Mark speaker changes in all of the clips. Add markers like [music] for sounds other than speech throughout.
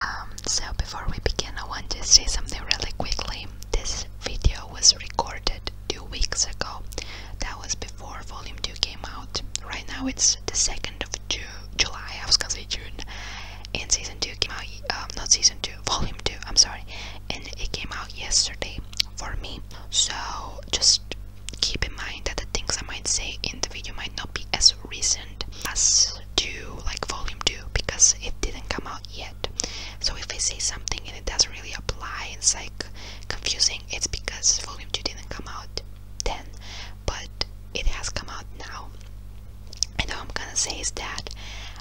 Speaker 1: Um, so before we begin, I want to say something really quickly. This video was recorded two weeks ago. That was before Volume 2 came out. Right now it's the 2nd of July, I was gonna say June. And Season 2 came out, um, not Season 2, Volume 2, I'm sorry. And it came out yesterday for me. So just keep in mind that the things I might say in the video might not be as recent as 2, like volume 2, because it didn't come out yet. So if I say something and it doesn't really apply, it's like confusing, it's because volume 2 didn't come out then, but it has come out now. And all I'm gonna say is that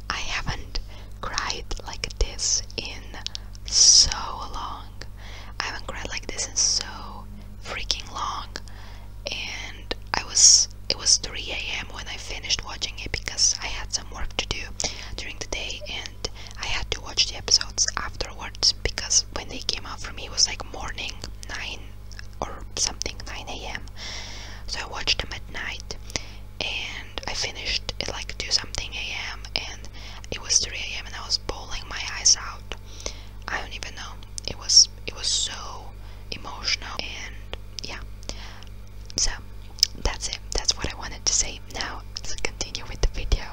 Speaker 1: I haven't cried like this in so long. I haven't cried like this in so freaking long and I was it was 3 a.m. when I finished watching it because I had some work to do during the day and I had to watch the episodes afterwards because when they came out for me it was like morning 9 or something 9 a.m. So I watched them at night and I finished at like 2 something a.m. and it was 3 a.m. and I was bawling my eyes out I don't even know. It was it was so emotional and yeah. So that's it. That's what I wanted to say. Now let's continue with the video.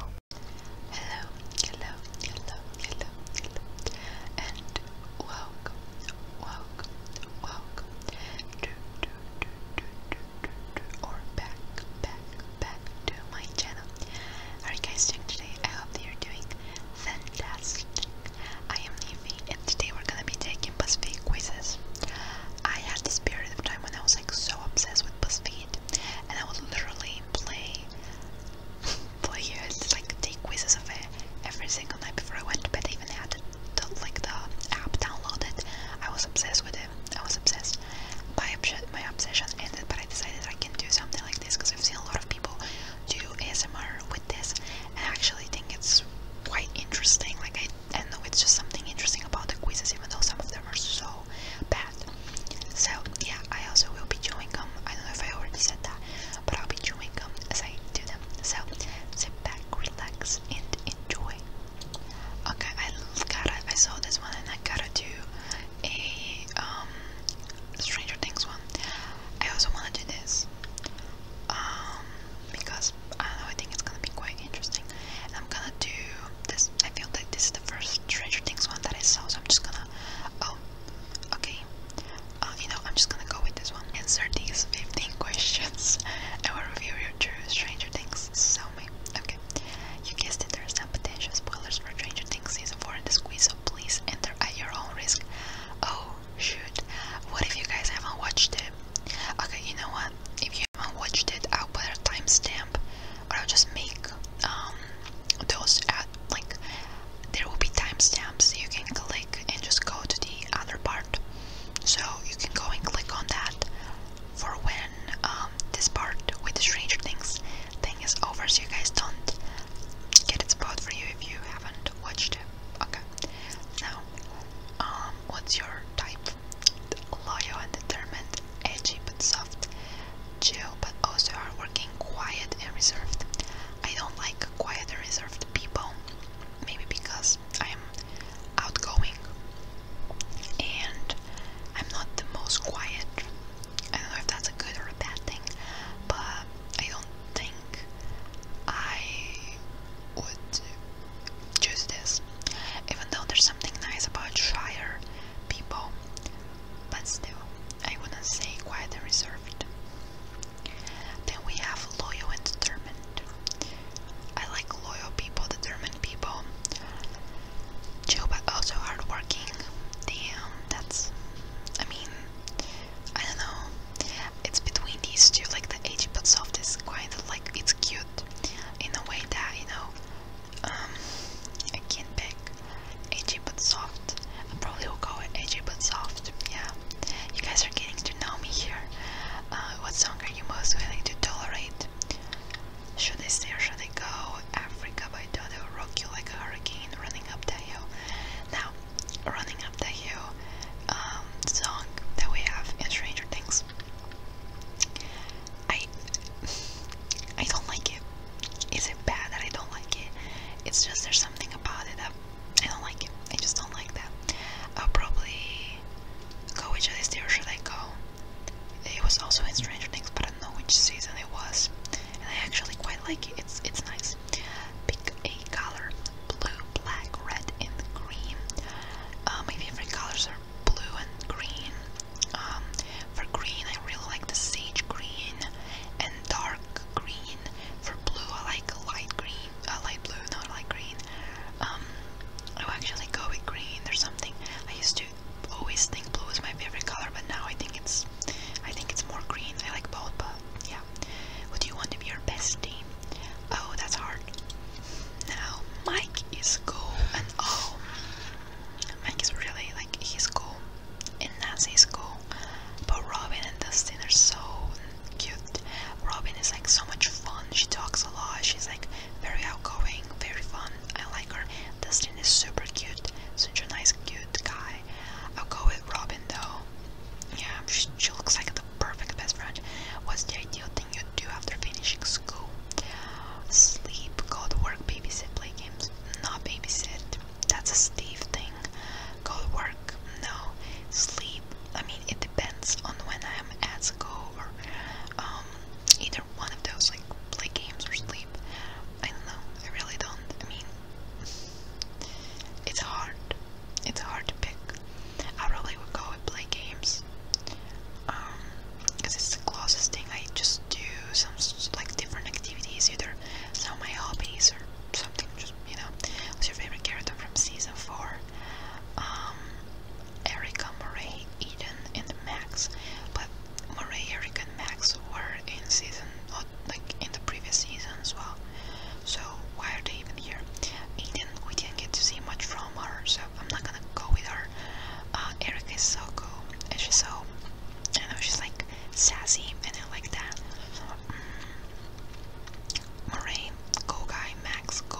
Speaker 1: Hello, hello, hello, hello, hello, and welcome, welcome, welcome to, to, to, to, to, to, or back, back, back to my channel. How guys doing today? I hope you're doing Fantastic! I am Leafy and today we're gonna be taking BuzzFeed quizzes. I had this period of time when I was like so obsessed with BuzzFeed and I would literally play, [laughs] play it, like take quizzes of it every single night before I went to bed. I even had the, like the app downloaded. I was obsessed with it. I was obsessed. My, obs my obsession ended but I decided I can do something like this because I've seen a lot of people do ASMR with this, I actually think it's quite interesting. Like I, I know it's just something interesting about the quizzes, even though some of them are so bad. So yeah, I also will be doing them. Um, I don't know if I already said that, but I'll be doing them um, as I do them. So sit back, relax, and enjoy. Okay, I gotta. I saw this one, and I gotta do a um Stranger Things one. I also want to do this um, because I don't know. I think it's gonna be quite interesting. I'm gonna do this. I feel like this is the first Stranger Things one that I saw, so I'm just gonna. Oh, okay. Uh, you know, I'm just gonna go with this one. Answer these 15 [laughs] questions. I will review your true Stranger Things. So me. Okay. You guessed it. There's some potential spoilers for Stranger Things season 4 in the quiz, so please enter at your own risk. Oh shoot, what if you guys haven't watched it? Okay, you know what? If you haven't watched it, I'll put a timestamp or I'll just make um those at like there will be timestamps you can click and just go to the other part. So you can go and click on that for when um this part with the Stranger Things thing is over so you guys don't get it spot for you if you haven't watched it. Okay. Now, um, what's your type? Loyal and determined, edgy but soft, chill but also hardworking, quiet and reserved. I don't like quiet and reserved people. Maybe because I'm outgoing and I'm not the most quiet I don't know if that's a good or a bad thing, but I don't think I would choose this. Even though there's something nice about shyer people, but still, I wouldn't say quite reserved. Then we have loyal and determined. I like loyal people, determined people. Chill but also hardworking. Damn, that's. I mean, I don't know. It's between these two, like the edgy but soft is kind of like it's cute in a way that you know. Um, I can't pick edgy but soft. I probably will call it edgy but soft. Yeah, you guys are getting to know me here. Uh, what song are you most willing to tolerate? Should I stay or should I go? Africa by Dodo, rock you like a hurricane, running up the hill. Now, running up the hill um, song that we have in Stranger Things. I I don't like it. Is it bad that I don't like it? It's just there's something about it that I don't like I just don't like that. I'll probably go which of these two should I go? It was also in Stranger Things, but I don't know which season it was. I actually quite like it. It's it's nice. Pick a color: blue, black, red, and green. Uh, my favorite colors are blue and green. Um, for green, I really like the sage green and dark green. For blue, I like light green, uh, light blue, not light green. Um, I actually go with green. There's something I used to always think blue was my favorite color, but now I think it's I think it's more green. I like both, but yeah. do you want to be your bestie? Oh, that's hard. Now, Mike is cool and oh, Mike is really like he's cool and Nancy is cool, but Robin and Dustin are so cute. Robin is like so much fun. She talks a lot. She's like very outgoing, very fun. I like her. Dustin is super cute, such a nice, cute cute guy. I'll go with Robin though. Yeah, she, looks like the perfect best friend. What's the ideal thing you do after finishing school? Sleep, go to work, babysit, play games. Not babysit. That's a Steve thing. Go to work, no. Sleep. I mean, it depends on when I'm at school or um, either one of those, like play games or sleep. I don't know. I really don't. I mean, it's hard. It's hard to pick. I probably would go and play games. because um, it's the closest thing I just do some like different activities, either some of my hobbies or something. Just you know, what's your favorite character from season four? Um, Erica, Murray, Eden, and Max. But Murray, Erica, and Max were in season like in the previous season as well. So why are they even here? Aiden, we didn't get to see much from her, so I'm not gonna go with her. Uh, Eric is so cool, she's so, I don't she's like sassy, and I like that. Mm. go guy, Max, go.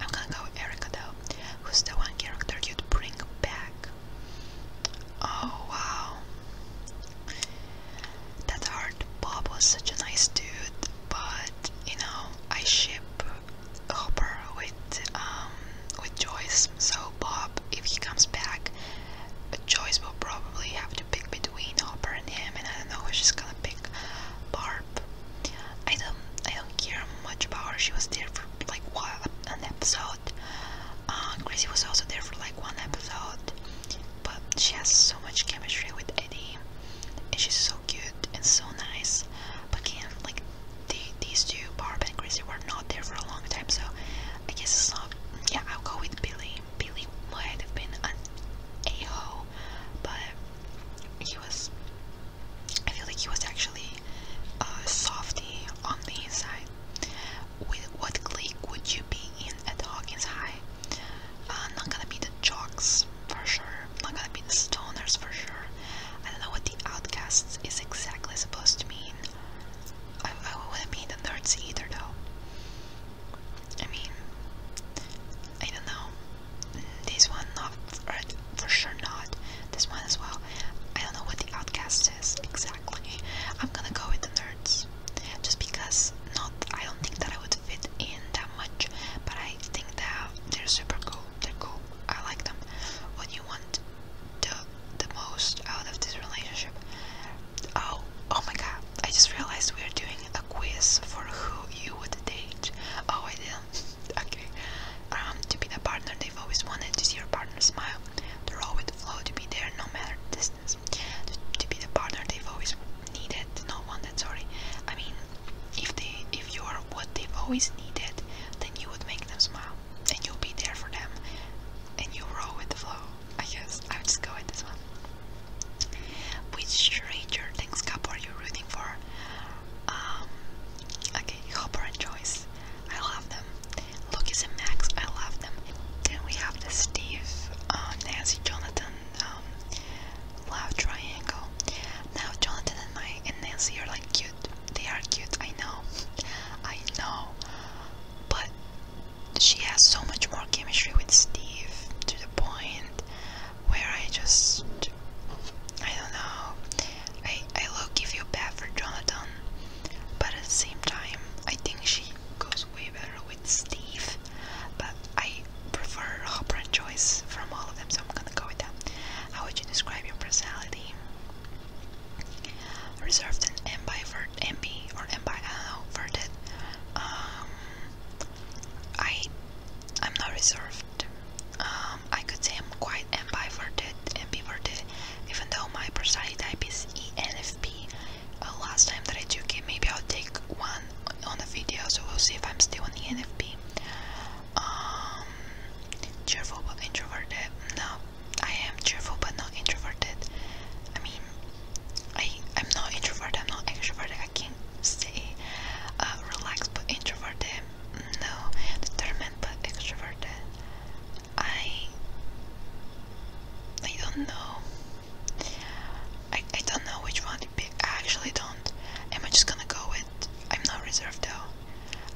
Speaker 1: I'm gonna go Erica though, who's the one character you'd bring back. Oh wow. That hard Bob was such a nice dude, but you know, I ship Hopper with um with Joyce. So Bob, if he comes back, Joyce will probably have to pick between Hopper and him and I don't know if she's gonna pick Barb. I don't I don't care much about her. She was there for like what episode. Uh, was also there for like one episode, but she has so much chemistry with Eddie, and she's so cute and so nice. But again, like the, these two, Barb and Chrissy, were not there for a long time, so I guess it's not. Yeah, I'll go with Billy. Billy might have been an a ho, but he was. I feel like he was actually uh, softy on the inside. With what clique would you be in at Hawkins High? Uh, not gonna be the jocks for sure. Not gonna be the stoners for sure. I don't know what the outcasts is exactly supposed to mean. I, wouldn't be in the nerds either though. I mean, I don't know. This one not for sure not. This one as well. I don't know what the outcasts exactly. I'm gonna go with the nerds, just because not. I don't think that I would fit in that much, but I think that they're super cool. They're cool. I like them. What you want the the most out of this relationship? Oh, oh my God! I just realized we are doing a quiz for who you would date. Oh, I didn't. [laughs] okay. Um, to be the partner they've always wanted to see your partner smile. The role the flow to be there no matter the distance, to, to be the partner they've always needed, not wanted, sorry. I mean, if they, if you are what they've always needed, then you would make them smile, and you'll be there for them, and you roll with the flow. I guess I would just go with this one. Which Ranger Thanks Cup are you rooting for? Um, okay, Hopper and Joyce. I love them. Lucas and Max, I love them. Then we have the Steve, um, Nancy, Jonathan, um, love triangle. Now Jonathan and my and Nancy are like cute. They are cute. I know. I know. But she has so much more chemistry with Steve to the point where I just I don't know. I I look if you bad for Jonathan but at the same time, I think she goes way better with Steve. But I prefer Hopper and Joyce from all of them, so I'm gonna go with them. How would you describe your personality? Reserved and MB or MB, um, I do I, am not reserved. Um, I could say I'm quite ambiverted, ambiverted, even though my personality type is ENFP. Uh, last time that I took it, maybe I'll take one on a video, so we'll see if I'm still on ENFP. Um, cheerful but introverted. No, I am cheerful but not introverted. I mean, I I'm not introverted. not extroverted. I can't uh, relaxed but introverted. No, determined but extroverted. I I don't know. I I don't know which one to pick. I actually don't. Am I just gonna go with I'm not reserved though.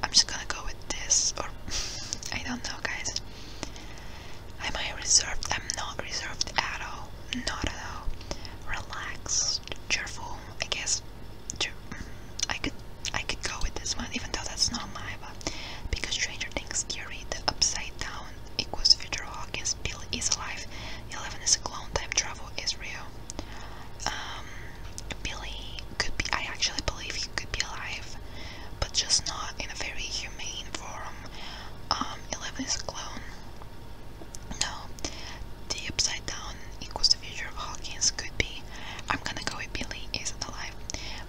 Speaker 1: I'm just gonna go with this or [laughs] I don't know guys. Am I reserved? I'm not reserved at all. Not at all. Relaxed, cheerful, I guess. I could I could go with this one, even though that's not my vote, because Stranger Things Gary, the upside down equals future Hawkins, Bill is alive, Eleven is a clone, time travel is real. Um, Billy could be I actually believe he could be alive, but just not in a very humane form. Um, Eleven is a clone. No. The upside down equals the future of Hawkins could be I'm gonna go if Billy Isn't Alive.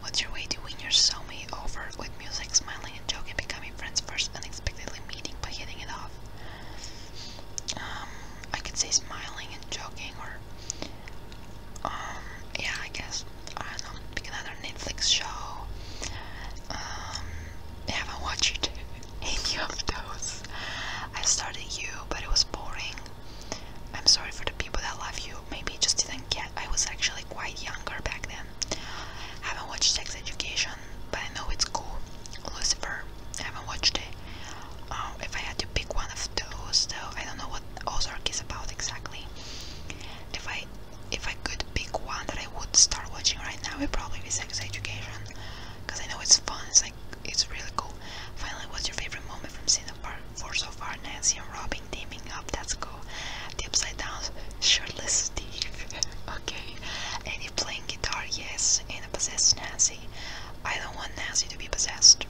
Speaker 1: What's your way to win your soulmate over with music, smiling and joking, becoming friends first, unexpectedly meeting by hitting it off? Um, I could say smiling and joking, or um, yeah, I guess I don't know. Pick another Netflix show. Um, I haven't watched [laughs] any of those. I started You, but it was boring. I'm sorry for the people that love you. Maybe just didn't get. I was actually quite younger back then. I haven't watched Sex Education, but I know it's cool. Lucifer, I haven't watched it. Um, if I had to pick one of those, though, I don't know what Ozark is about exactly. If I if I could pick one that I would start watching right now, it'd probably be Sex Education, because I know it's fun. It's like it's really cool. Finally, what's your favorite moment from Cinema Park? For so far, Nancy and Robin teaming up. That's cool. The upside down shirtless Steve. [laughs] okay. Any playing guitar, yes. And possessed Nancy. I don't want Nancy to be possessed.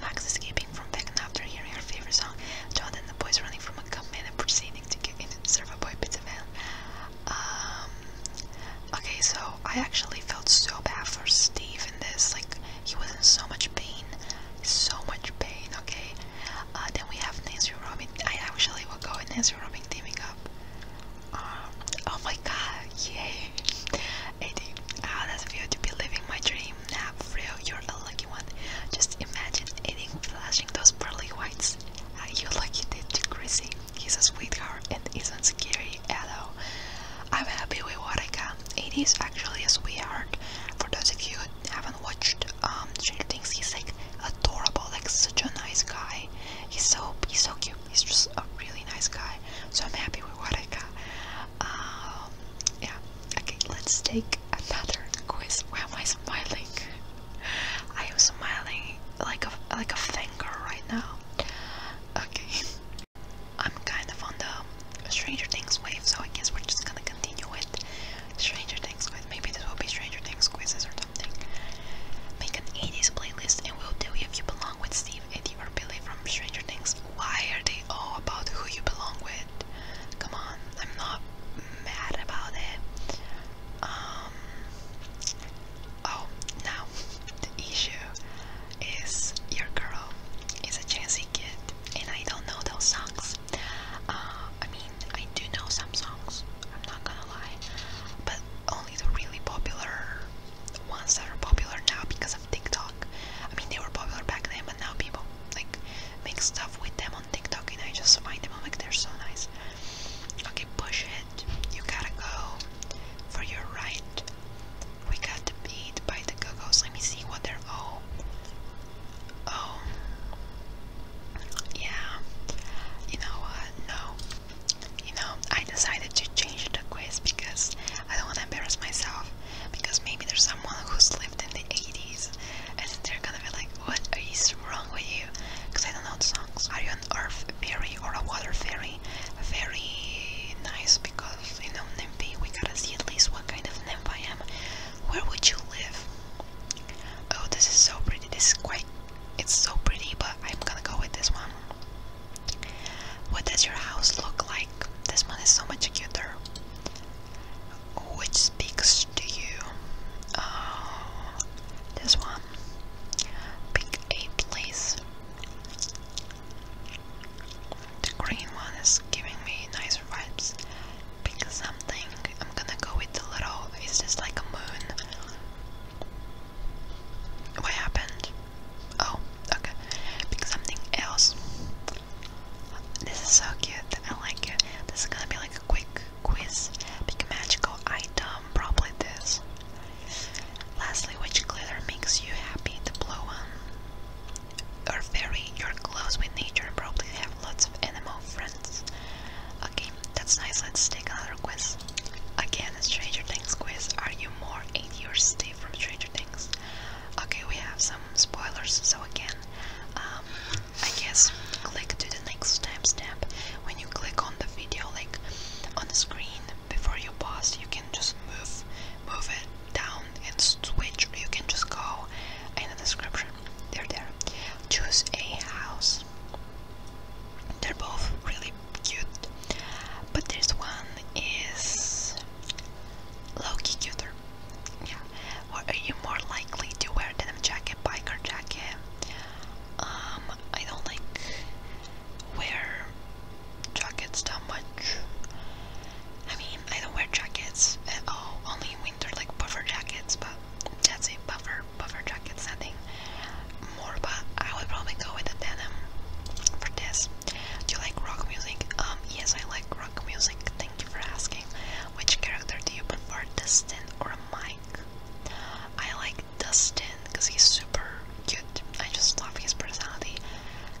Speaker 1: Max escaping from Beckon after hearing her favorite song. John and the boys running from a gunman and proceeding to get into the server boy pizza van. Um, okay, so I actually felt so bad for Steve in this. Like, he was in so much pain, so much pain. Okay. Uh, then we have Nancy Robin. I actually will go in Nancy Robin teaming up. Um, oh my God! Yay! Eddie, how does it feel to be living my dream? now, for real, you're a lucky one. Just imagine Eddie flashing those pearly whites. you ah, you lucky did to Chrissy. He's a sweetheart and isn't scary at all. I'm happy with what I got. It is actually a sweetheart. For those of you who haven't watched um, Stranger Things, he's like adorable, like such a nice guy. He's so he's so cute. He's just a really nice guy. So I'm happy with what I got. Um, yeah. Okay, let's take another quiz. Why am I smiling? [laughs] I am smiling like a like a finger right now. Okay, I'm kind of on the Stranger Things wave, so I guess we're just gonna continue with Stranger Things with maybe this will be Stranger Things quizzes or something. Make an 80s playlist and we'll tell you if you belong with Steve, Eddie, or Billy from Stranger Things. Why are they all about who you belong with? Come on, I'm not mad about it. Um. Oh, now the issue is your girl is a Gen kid, and I don't know those songs. Uh, I mean, I do know some songs. I'm not gonna lie, but only the really popular ones that are popular now because of TikTok. I mean, they were popular back then, but now people like make stuff with them on TikTok, and I just find them like they're so nice. Okay, push it. You gotta go for your right. We got beat by the go Let me see what they're oh. Oh. Yeah. You know what? No. You know, I decided to change the quiz because I don't want to embarrass myself. Because maybe there's someone who's lived in the 80s and they're gonna be like, What is wrong with you? Because I don't know the songs. Are you an earth fairy or a water fairy? very, nice because you know Nempe. We gotta see at least what kind of nymph I am. Where would you live? Oh, this is so pretty. This is quite. It's so pretty, but I'm gonna go with this one. What does your house look like? This one is so much cuter. Which speaks to you? Oh, this one. Pick a place. The green one is giving me nicer vibes. Pick something. I'm gonna go with the little. It's just like a moon. What happened? Oh, okay. Pick something else. This is so cute. I like it. This is gonna be like a quick quiz. Pick a magical item. Probably this. Lastly, which glitter makes you happy to blow on? Or very, you're close with nature and probably have lots of animal friends. Okay, that's nice. Let's take another quiz. Again, Stranger Things quiz. Are you more in your Steve from Stranger Things? Okay, we have some spoilers, so again, um, I guess click to the next timestamp. When you click on the video, like on the screen, before you pause, you can just move move it down and switch. You can just go in the description. They're there. Choose a house. They're both really cute, but this one is low-key cuter. Yeah. Or are you more likely to wear denim jacket, biker jacket? Um, I don't like wear jackets that much. I mean, I don't wear jackets at all, only winter, like buffer jackets, but that's a buffer, buffer jacket, nothing more, but I would probably go with a denim for this. Do you like rock music? Um, yes, I like rock music, thank you for asking. Which character do you prefer, Destin or Mike? I like Dustin because he's super cute. I just love his personality.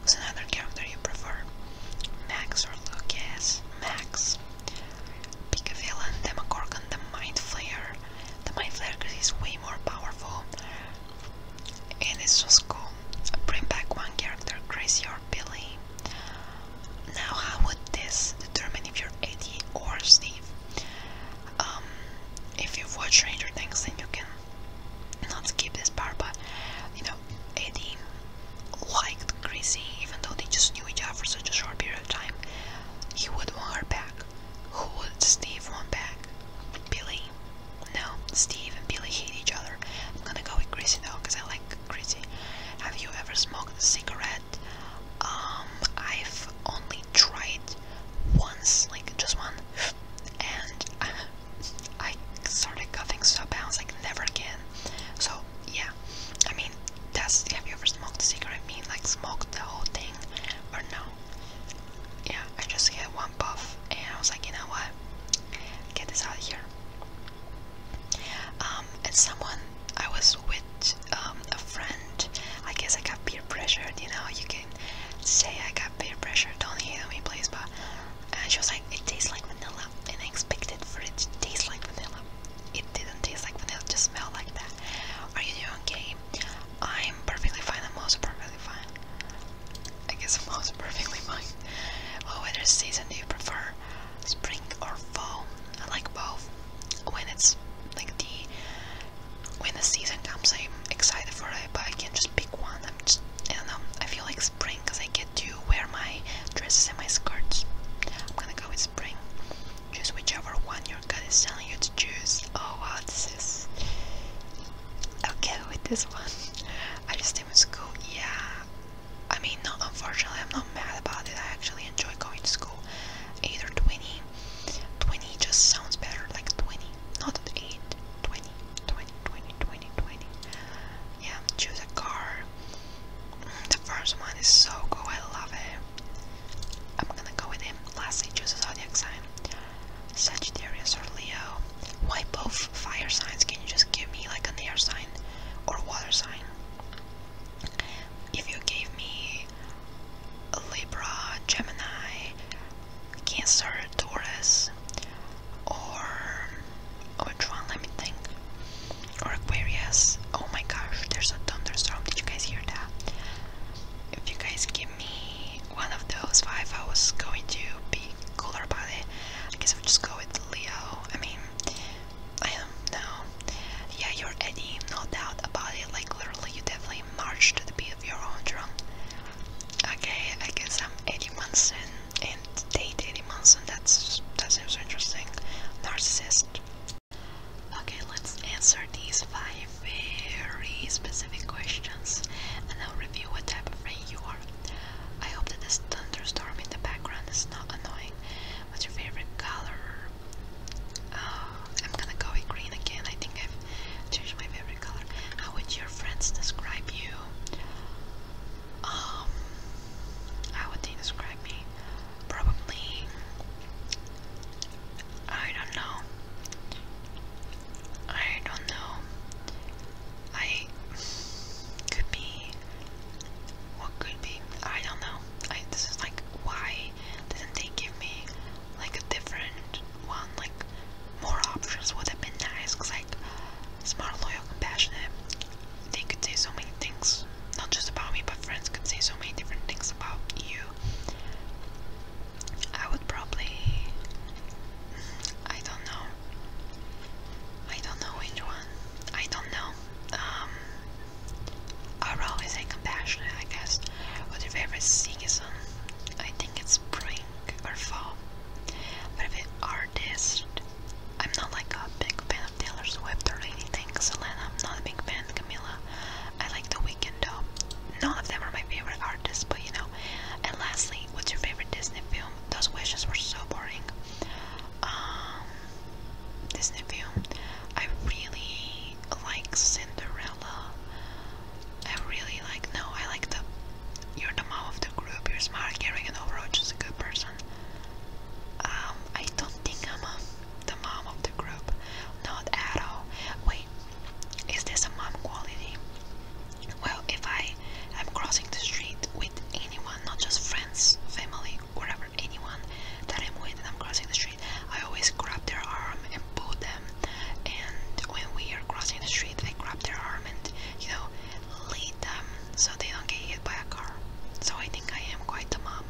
Speaker 1: Who's another character you prefer? Max or Lucas? Max. Pick a villain, Demogorgon, the Mind Flayer. The Mind Flayer because he's way more powerful. And it's just cool. Bring back one character, Gracie or Billy. Now, how would this determine if you're Eddie or Steve? Um, if you've watched Stranger Things, then you can not skip this part. But you know, Eddie liked Chrissy, even though they just knew each other for such a short period of time. He would want her back. Who would Steve want back? Billy? No, Steve and Billy hate each other. I'm gonna go with Chrissy now because I like Chrissy. Have you ever smoked a cigarette? Um, I've only I tried once, like just one, and I started coughing so bad, I was like, never again. So, yeah, I mean, that's, have you ever smoked a cigarette? I mean, like, smoked the whole thing, or no? Yeah, I just had one puff, and I was like, you know what? Get this out of here. Um, and someone I was with, um, a friend, I guess I got peer pressured, you know, you can say I got peer pressured, don't hate me please, but she was like, it tastes like vanilla, and I expected for it to taste like vanilla. It didn't taste like vanilla, it just smelled like that. Are you doing okay? I'm perfectly fine, I'm also perfectly fine. I guess I'm also [laughs] perfectly fine. What weather season do you prefer? Spring or fall? I like both. When it's like the when the season comes, I'm excited for it, but I can't just pick one. I'm just, I don't know. I feel like spring because I get to wear my dresses and my skirts. I'm gonna go with spring. Just whichever one your gut is telling you to choose. Oh wow, this is. Okay, with this one, [laughs] I just came in school. Yeah, I mean, no, unfortunately, I'm not mad about it. I actually enjoy going to school. Either 20 20 just sounds better, like 20, not 8, 20, 20, 20, 20, 20. Yeah, choose a car. Mm, the first one is so cool, I love it. I'm gonna go with him. Lastly, choose a zodiac sign. Sagittarius or Leo. Why both fire signs? Can you just give me like an air sign or water sign? If you gave me Libra, Gemini, Cancer, Taurus, or oh, which one? Let me think. Or Aquarius. Oh my gosh, there's a thunderstorm. Did you guys hear that? If you guys give me one of those five, I was going to be cooler about it. I guess I'll just go with Leo. I mean, I don't Yeah, you're Eddie, no doubt about it. Like, literally, you definitely marched to the beat of your own drum. Okay, I guess I'm Eddie Munson and date Eddie Munson, that's that seems interesting. Narcissist. Okay, let's answer these five very specific questions and I'll review what type of friend you are. I hope that this thunderstorm in the background is not annoying. What's your favorite color? Uh, I'm gonna go green again. I think I Change my favorite color. How would your friends describe you? Um, how would they describe me? Probably, I don't know. I don't know. I could be. What could be? I don't know. this is like why why didn't they give me like a different one? Like more options would have been nice because like smart, loyal, compassionate, they could say so many things, not just about me, but friends could say so many different things about you. I would probably, I don't know, I don't know which one, I don't know, um, I would probably say compassionate, I guess, is what your favorite season? Um, I think it's spring or fall. What artist? I'm not like a big fan of Taylor Swift or anything, Selena. I'm not a big fan, Camila. I like The Weeknd though. None of them are my favorite artists, but you know. And lastly, what's your favorite Disney film? Those questions were so boring. Um, Disney film. I really like Cinderella. I really like, no, I like the, you're the mom of the group, you're smart, caring, an overall just a good person. Um, I don't think I'm a, the mom of the group. Not at all. Wait, is this a mom quality? Well, if I am crossing the street with anyone, not just friends, family, whatever, anyone that I'm with and I'm crossing the street. I always grab their arm and pull them. And when we are crossing the street, I grab their arm and, you know, lead them so they don't get hit by a car. So I think I am quite a mom.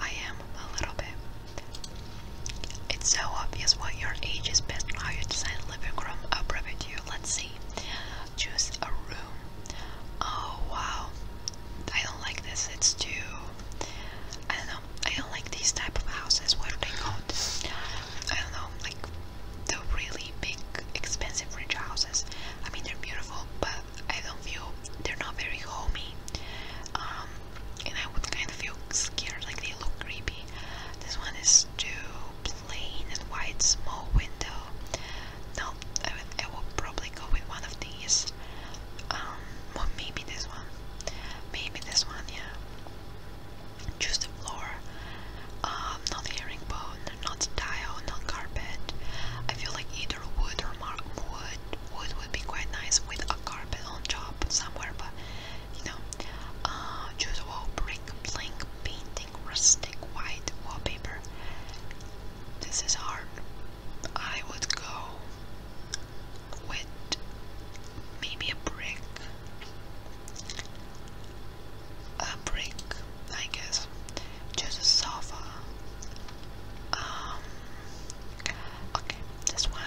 Speaker 1: I am a little bit. It's so obvious what your age is best and how you design a living room up with you. Let's see. Choose a room. Oh wow. I don't like this. It's too. I don't know. I don't like these type of houses. What are they called? I don't know. Like the really big, expensive rich houses. I mean, they're beautiful, but I don't feel they're not very homey. Um, and I would kind of feel scared. Like they look creepy. This one is too plain and white, small window. No, I would, probably go with one of these. Um, well, maybe this one. Maybe this one, yeah. Choose the floor. Um, not herringbone, not tile, not carpet. I feel like either wood or mar wood. Wood would be quite nice with a carpet on top somewhere, but you know. Uh, choose wall brick, blank painting, rustic white wallpaper. This is hard. I would go with maybe a brick. A brick, I guess. Just a sofa. Um. Okay, this one.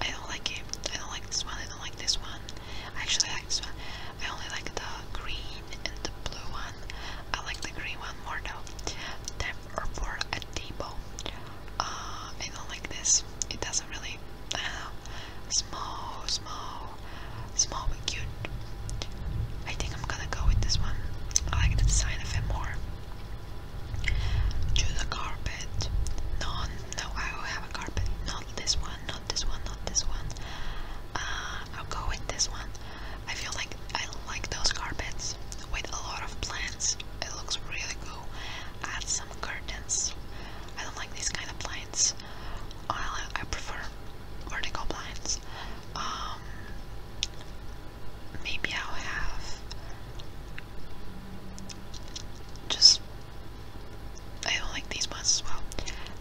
Speaker 1: I don't like it. I don't like this one. I don't like this one. I actually like this one. I only like the green and the blue one. I like the green one more though or for a Debo. I don't like this. It doesn't really. Small, small, small but cute. I think I'm gonna go with this one. I like the design of it more. Choose a carpet. No, no, I have a carpet. Not this one, not this one, not this one. Uh, I'll go this one. I feel like I like those carpets with a lot of plants. It looks really cool. Add some curtains. I don't like these kind of blinds. I, I prefer vertical blinds. Um, maybe I'll have just. I don't like these ones as well.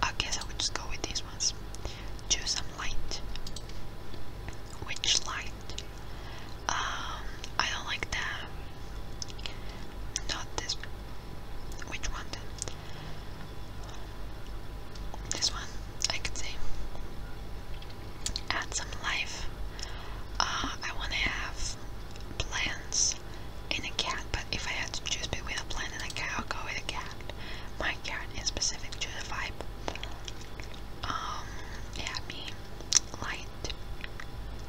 Speaker 1: I guess I would just go with these ones. Choose some light. Which light um, I don't like that. Not this. Which one? This one, I could say. Add some life. Uh, I want to have plants and a cat, but if I had to choose between a plant and a cat, I'll go with a cat. My cat is specific to the vibe um, happy, light,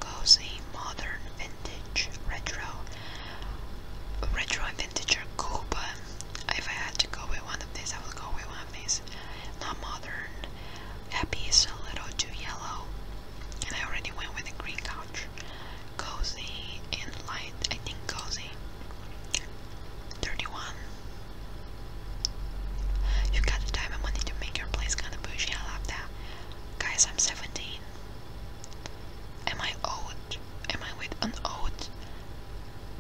Speaker 1: cozy, modern, vintage, retro. Retro vintage are cool, but if I had to go with one of these, I would go with one of these. Not modern. Happy is a little too yellow, and I already went with the green couch. Cozy and light. I think cozy 31. You got the time and money to make your place kinda bougie, I love that. Guys, I'm 17. Am I old? Am I with an old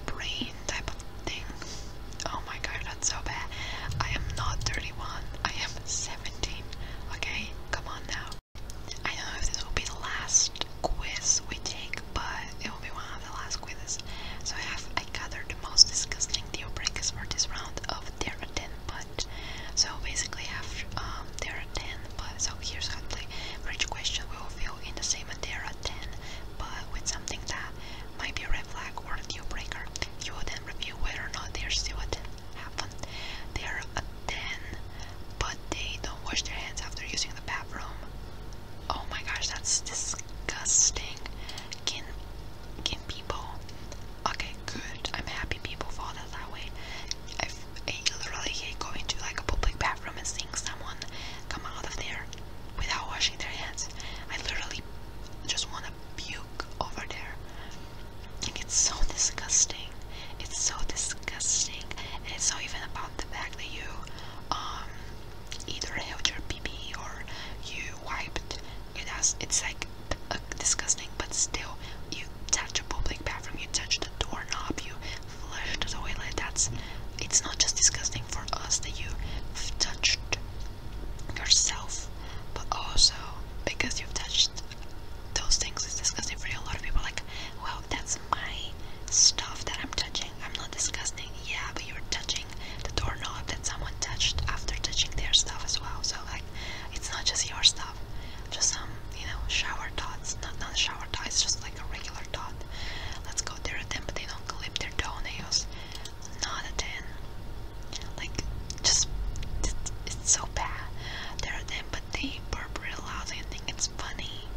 Speaker 1: brain type of thing? Oh my god, that's so bad. I am not 31, I am 17. Okay, come on now. I don't know if this will be the last quiz we take, but it will be one of the last quizzes. So I have I gathered most disgusting deal breakers for this round of there are 10 but so basically after um there are 10 but so here's how the play question will feel in the same and there are 10 but with something that might be a red flag or a deal breaker you will then review whether or not there's still a 10 happen they're a 10 but they don't wash their hands after using the bathroom Oh my gosh, that's disgusting. Can can people? Okay, good. I'm happy people follow that, way. i literally hate going to like a public bathroom and seeing someone come out of there without washing their hands. I literally just want to puke over there. it's so disgusting. It's so disgusting, and it's not even about the fact that you um either held your pee or you wiped it's like disgusting but still you touch a public bathroom you touch the doorknob you flush the toilet that's it's not just disgusting for us that you've touched yourself but also because you've touched those things it's disgusting for a lot of people like well that's my stuff that I'm touching I'm not disgusting. Yeah, but you're touching the doorknob that someone touched after touching their stuff as well. So like, it's not just your stuff. Just some, you know, shower thoughts. Not not shower thoughts. Just like a regular thought. Let's go there at them, but they don't clip their toenails. Not a ten. Like, just it's so bad. There are them, but they burp real loud. and think it's funny.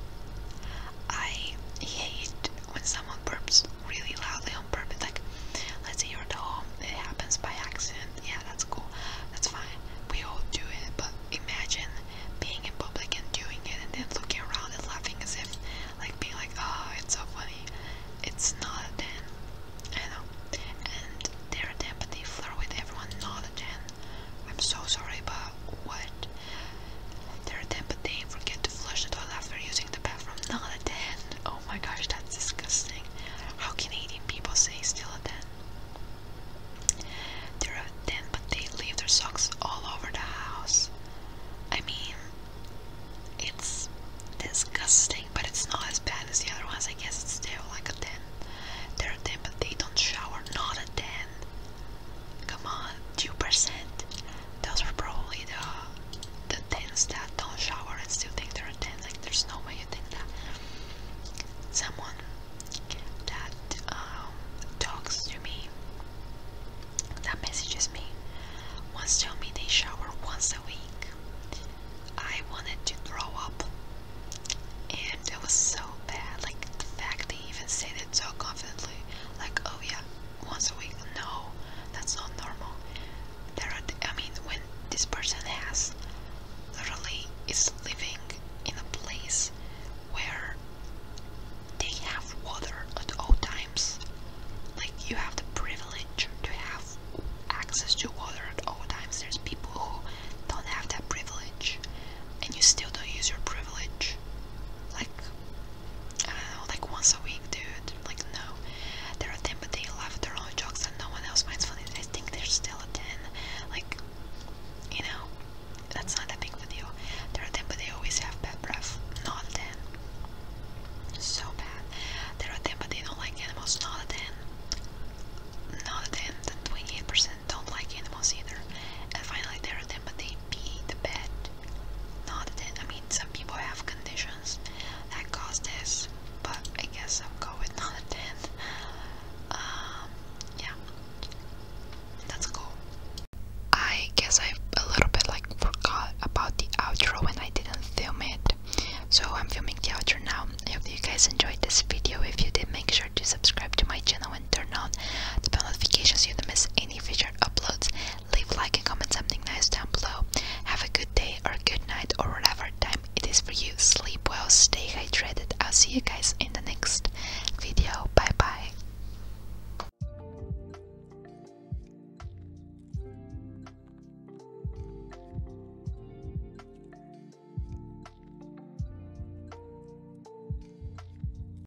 Speaker 1: I hate when someone burps really loudly on purpose. Like, let's say you're at home, it happens by accident. Yeah, that's cool. That's fine. We all do it. But imagine being in public and doing it, and then looking around and laughing as if, like, being like, oh, it's so funny. It's not a I know. And they're a with everyone. Not a i I'm so sorry, but what dirt. Later that day, forget to flush the toilet after using the bathroom. Not a 10. Oh my gosh, that's disgusting. How can eighteen people say still a 10? There are 10, but they leave their socks all over the house. I mean, it's disgusting, but it's not as bad as the other ones. I guess it's still like a 10. There are 10, but they don't shower. Not a 10. Come on, 2%. Those were probably the the tens that don't shower and still think they're a ten. Like there's no way you think that someone that um, talks to me, that messages me, once tell me they shower once a week. I wanted to throw up, and it was so bad. Like the fact they even said it so confidently, like, oh yeah, once a week. No, that's not normal. There are, I mean, when this person has literally is living in a place where they have water at all times. Like you have the privilege to have access to water at all times. There's people who don't have that privilege, and you still don't use your privilege. Like like once a week, dude. Like, no. there are 10, but they laugh at their own jokes and no one else finds funny. I think they're still a 10. Like, you know, that's not a big video. There are 10, but they always have bad breath. Not a 10. So bad. There are 10, but they don't like animals. Not a 10. Not a 10. 28% don't like animals either. And finally, there are 10, but they be the bed. Not that, I mean, some people have conditions that cause this, but I guess i am going with [laughs] not a 10. Um, yeah, that's cool. I guess I a little bit like forgot about the outro when I didn't film it. So I'm filming the outro now. I hope you guys enjoyed this video. If you did, make sure to subscribe to my channel and turn on the notifications so you don't miss any any future uploads. Leave like and comment something nice down below. Have a good day or good night or whatever time it is for you. Sleep well, stay hydrated. I'll see you guys in the next video. Bye bye.